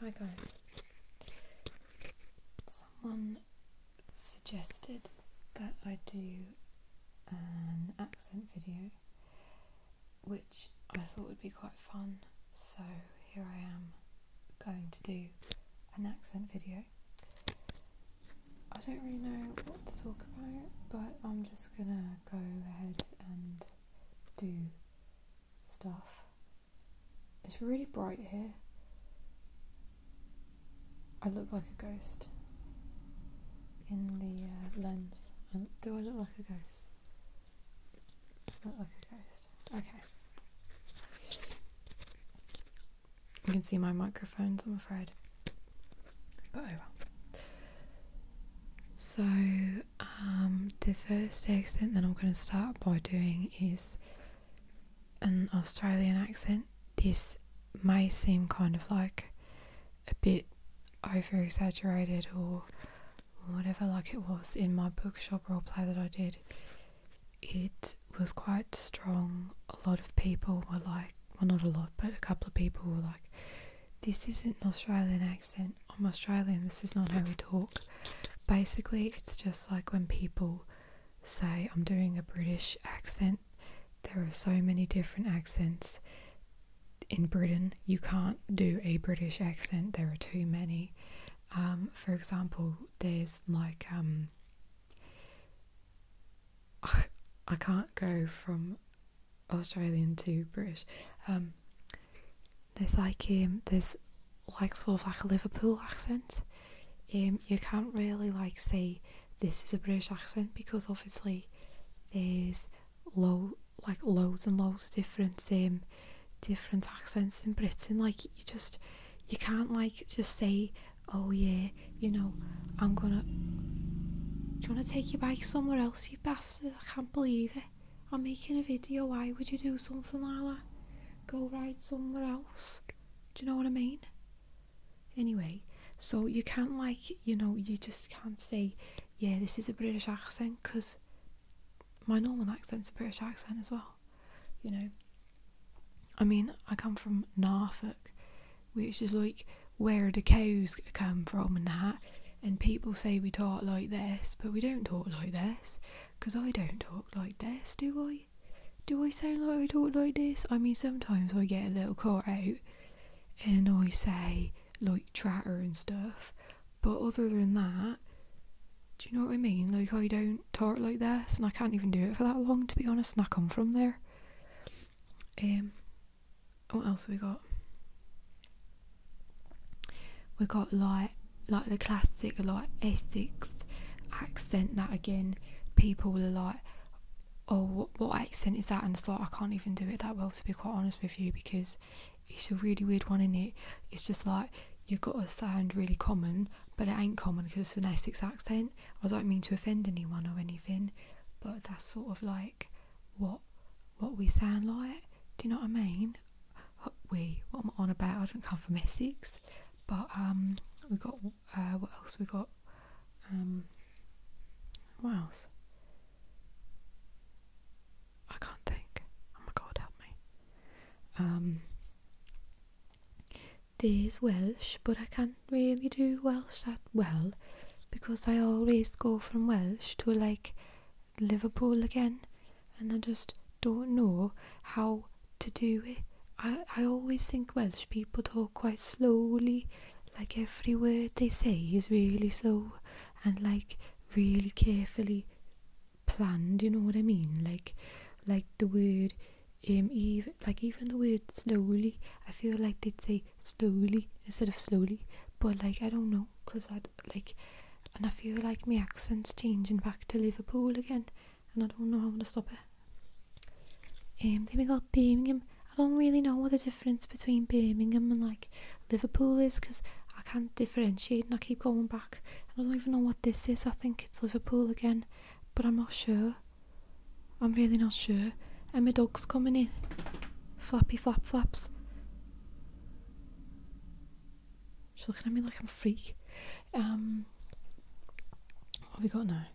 Hi guys. Someone suggested that I do an accent video, which I thought would be quite fun, so here I am going to do an accent video. I don't really know what to talk about, but I'm just gonna go ahead and do stuff. It's really bright here. I look like a ghost in the uh, lens. do I look like a ghost? look like a ghost. Okay. You can see my microphones, I'm afraid. But oh So, um, the first accent that I'm going to start by doing is an Australian accent. This may seem kind of like a bit over exaggerated or whatever, like it was in my bookshop role play that I did. It was quite strong. A lot of people were like, well, not a lot, but a couple of people were like, this isn't an Australian accent I'm Australian, this is not how we talk. Basically, it's just like when people say, I'm doing a British accent, there are so many different accents in Britain. You can't do a British accent, there are too many. Um, for example, there's like, um, I can't go from Australian to British. Um, there's like um, there's like sort of like a Liverpool accent. Um, you can't really like say this is a British accent because obviously there's low like loads and loads of different um different accents in Britain. Like you just you can't like just say oh yeah you know I'm gonna. Do you want to take you back somewhere else, you bastard? I can't believe it. I'm making a video. Why would you do something like that? Go ride somewhere else. Do you know what I mean? Anyway, so you can't like, you know, you just can't say, yeah, this is a British accent because my normal accent's a British accent as well. You know, I mean, I come from Norfolk, which is like where the cows come from and that. And people say we talk like this, but we don't talk like this because I don't talk like this, do I? Do I sound like I talk like this? I mean, sometimes I get a little caught out and I say like chatter and stuff, but other than that, do you know what I mean? Like, I don't talk like this, and I can't even do it for that long, to be honest, and I come from there. Um, what else have we got? we got like like the classic like Essex accent that again people are like oh what, accent is that and it's like I can't even do it that well to be quite honest with you because it's a really weird one in it it's just like you've got to sound really common but it ain't common because it's an Essex accent I don't mean to offend anyone or anything but that's sort of like what what we sound like do you know what I mean we what i on about. I don't come from Essex, but um, we got uh, what else we got? Um, what else? I can't think. Oh my god, help me. Um, there's Welsh, but I can't really do Welsh that well because I always go from Welsh to like Liverpool again, and I just don't know how to do it. I, I always think Welsh people talk quite slowly, like every word they say is really so, and like really carefully planned, you know what I mean? Like like the word um even like even the word slowly, I feel like they'd say slowly instead of slowly, but like I don't know, cause I like and I feel like my accent's changing back to Liverpool again and I don't know how to stop it. Um, then we got Birmingham. I don't really know what the difference between Birmingham and like Liverpool is because I can't differentiate and I keep going back. I don't even know what this is. I think it's Liverpool again, but I'm not sure. I'm really not sure. And my dog's coming in. Flappy flap flaps. She's looking at me like I'm a freak. Um, what have we got now?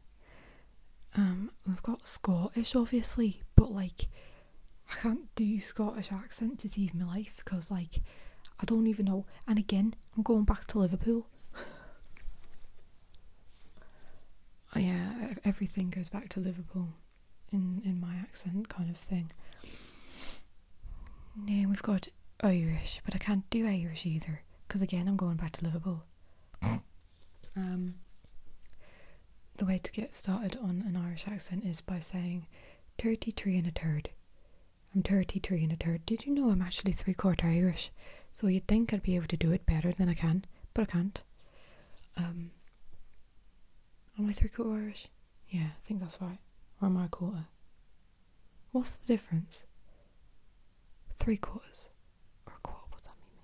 Um, we've got Scottish, obviously, but like, I can't do Scottish accent to save my life because, like, I don't even know. And again, I'm going back to Liverpool. Oh, yeah, everything goes back to Liverpool in in my accent kind of thing. No, we've got Irish, but I can't do Irish either because again I'm going back to Liverpool. um, the way to get started on an Irish accent is by saying 33 and a third. I'm 33 and a third. Did you know I'm actually three quarter Irish? So you'd think I'd be able to do it better than I can, but I can't. Um, am I three quarter Irish? Yeah, I think that's right. Or am I a quarter? What's the difference? Three quarters or a quarter? What's that mean?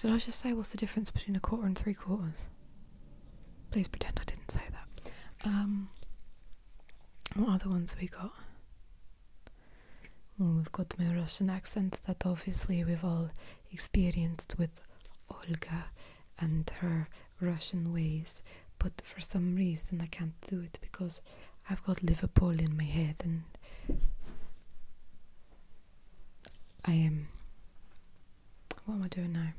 Did I just say what's the difference between a quarter and three quarters? Please pretend I didn't say that. Um, what other ones we got? Well, we've got my Russian accent that obviously we've all experienced with Olga and her Russian ways, but for some reason I can't do it because I've got Liverpool in my head and I am. what am I doing now?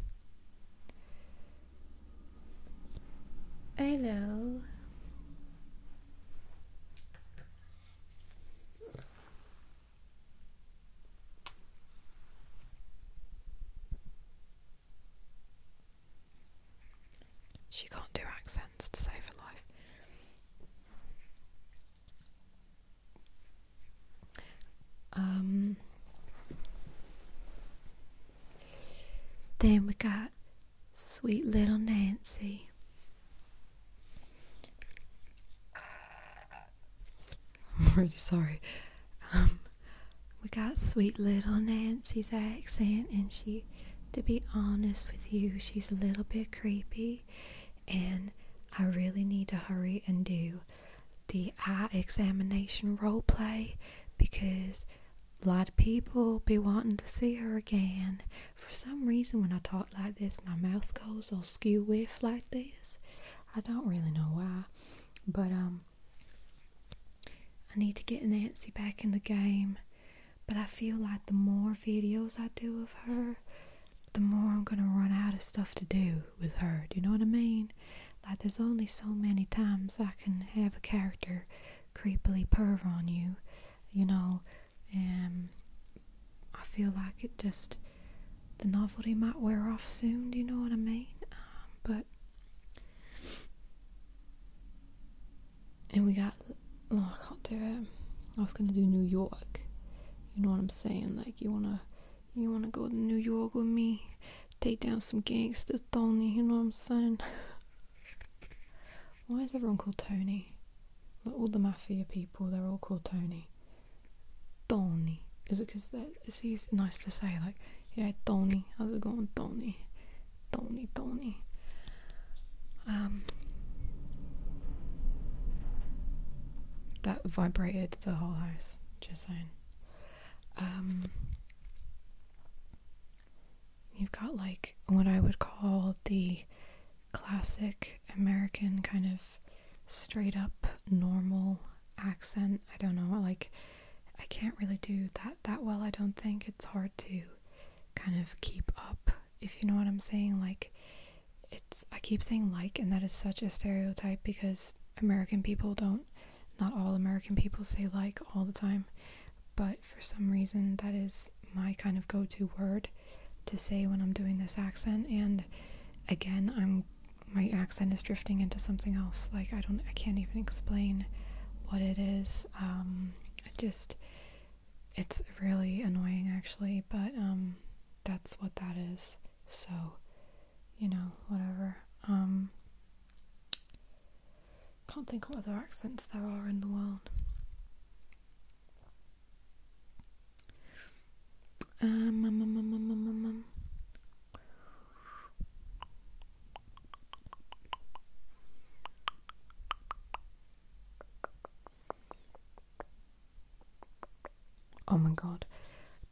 Hello. She can't do accents to save her life. Um, then we got sweet little Nancy. I'm really sorry. Um, we got sweet little Nancy's accent, and she, to be honest with you, she's a little bit creepy. And I really need to hurry and do the eye examination role play because a lot of people be wanting to see her again. For some reason, when I talk like this, my mouth goes all skew whiff like this. I don't really know why, but um, I need to get Nancy back in the game, but I feel like the more videos I do of her, the more I'm gonna run out of stuff to do with her. Do you know what I mean? Like, there's only so many times I can have a character creepily purr on you, you know. Um, I feel like it just the novelty might wear off soon. Do you know what I mean? Um, but and we got, oh, I can't do it. I was gonna do New York. You know what I'm saying? Like you wanna, you wanna go to New York with me, take down some gangster Tony. You know what I'm saying? Why is everyone called Tony? all the mafia people, they're all called Tony. Tony. Is it because they're like it's easy, nice to say like yeah Tony how's it going Tony Tony Tony um that vibrated the whole house just saying um you've got like what I would call the classic American kind of straight up normal accent I don't know like I can't really do that that well. I don't think it's hard to kind of keep up, if you know what I'm saying. Like, it's I keep saying like, and that is such a stereotype because American people don't, not all American people say like all the time, but for some reason that is my kind of go-to word to say when I'm doing this accent. And again, I'm my accent is drifting into something else. Like I don't, I can't even explain what it is. Um, just, it's really annoying actually, but um, that's what that is. So, you know, whatever. Um, can't think what other accents there are in the world. um. um, um, um Oh my god,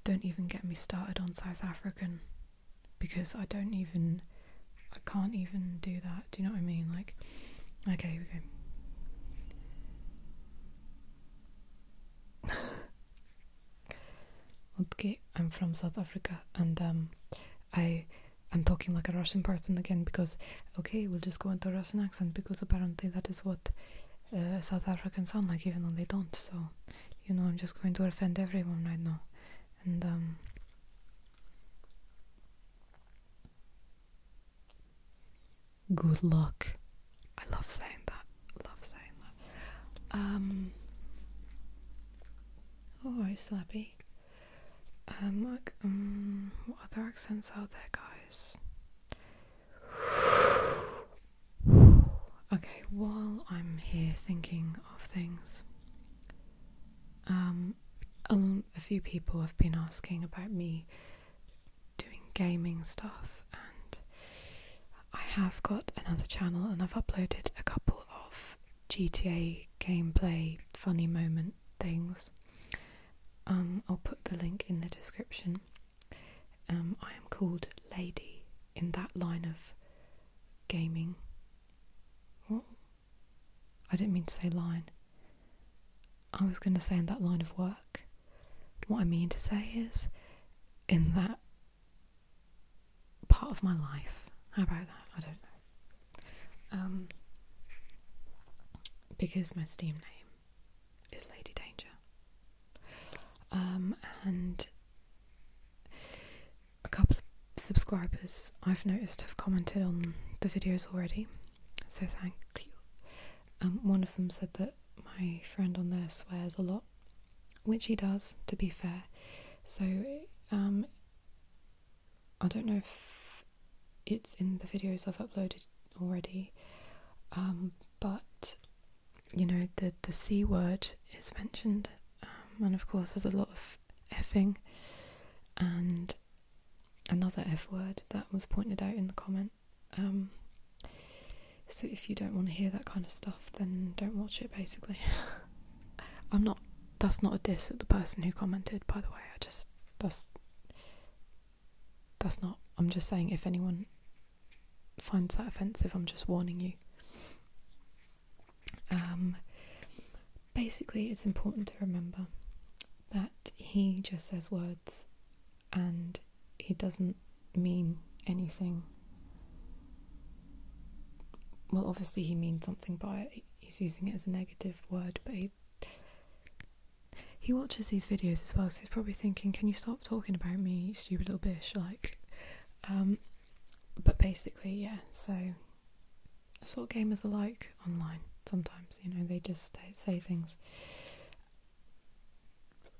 don't even get me started on South African because I don't even, I can't even do that. Do you know what I mean? Like, okay, we go. Okay, I'm from South Africa and um, I am talking like a Russian person again because okay, we'll just go into Russian accent because apparently that is what uh, South Africans sound like even though they don't. So, you know, I'm just going to offend everyone right now. And um, good luck. I love saying that. Love saying that. Um Oh, I'm Slappy. Um, look, um, what other accents are there, guys? Okay, while I'm here thinking of things, um, a few people have been asking about me doing gaming stuff, and I have got another channel and I've uploaded a couple of GTA gameplay, funny moment things. Um, I'll put the link in the description. Um, I am called Lady in that line of gaming. I didn't mean to say line. I was going to say in that line of work. What I mean to say is, in that part of my life. How about that? I don't know. Um, because my Steam name is Lady Danger. Um, and a couple of subscribers I've noticed have commented on the videos already, so thank you. Um, one of them said that my friend on there swears a lot which he does, to be fair. So, um, I don't know if it's in the videos I've uploaded already, um, but you know, the, the C word is mentioned, um, and of course, there's a lot of effing and another F word that was pointed out in the comment. so if you don't want to hear that kind of stuff, then don't watch it basically. I'm not. That's not a diss at the person who commented, by the way. I just that's that's not. I'm just saying if anyone finds that offensive, I'm just warning you. Um, basically, it's important to remember that he just says words and he doesn't mean anything well, obviously, he means something by it. He's using it as a negative word, but he, he watches these videos as well, so he's probably thinking, can you stop talking about me, stupid little bitch? Like, um, but basically, yeah, so sort of gamers are like online sometimes, you know, they just say things.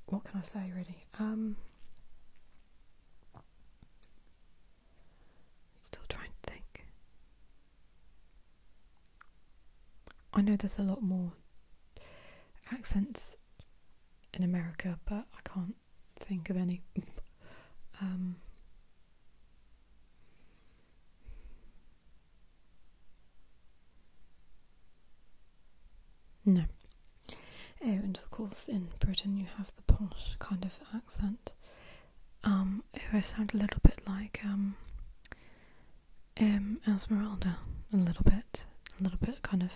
What can I say, really? Um, I'm still trying to think. I know there's a lot more accents in America, but I can't think of any. Um, no. Oh, and of course, in Britain, you have the posh kind of accent. Um, who sound a little bit like um, um, Esmeralda, a little bit, a little bit kind of.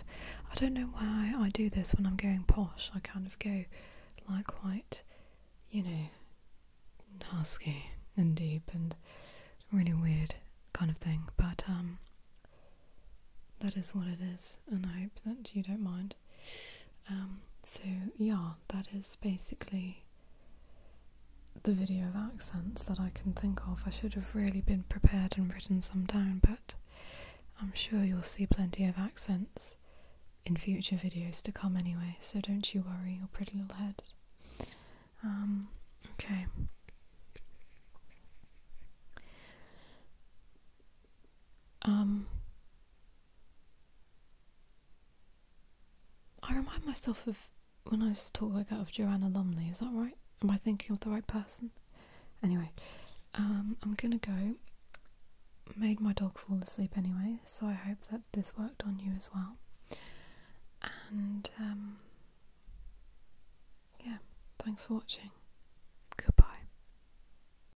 I don't know why I do this when I'm going posh. I kind of go like quite, you know, husky and deep and really weird kind of thing. But um, that is what it is, and I hope that you don't mind. Um, so, yeah, that is basically the video of accents that I can think of. I should have really been prepared and written some down, but I'm sure you'll see plenty of accents in future videos to come anyway, so don't you worry your pretty little heads. Um, okay. Um, I remind myself of when I was talking about Joanna Lumley, is that right? Am I thinking of the right person? Anyway, um, I'm gonna go. Made my dog fall asleep anyway, so I hope that this worked on you as well. And um, yeah, thanks for watching. Goodbye.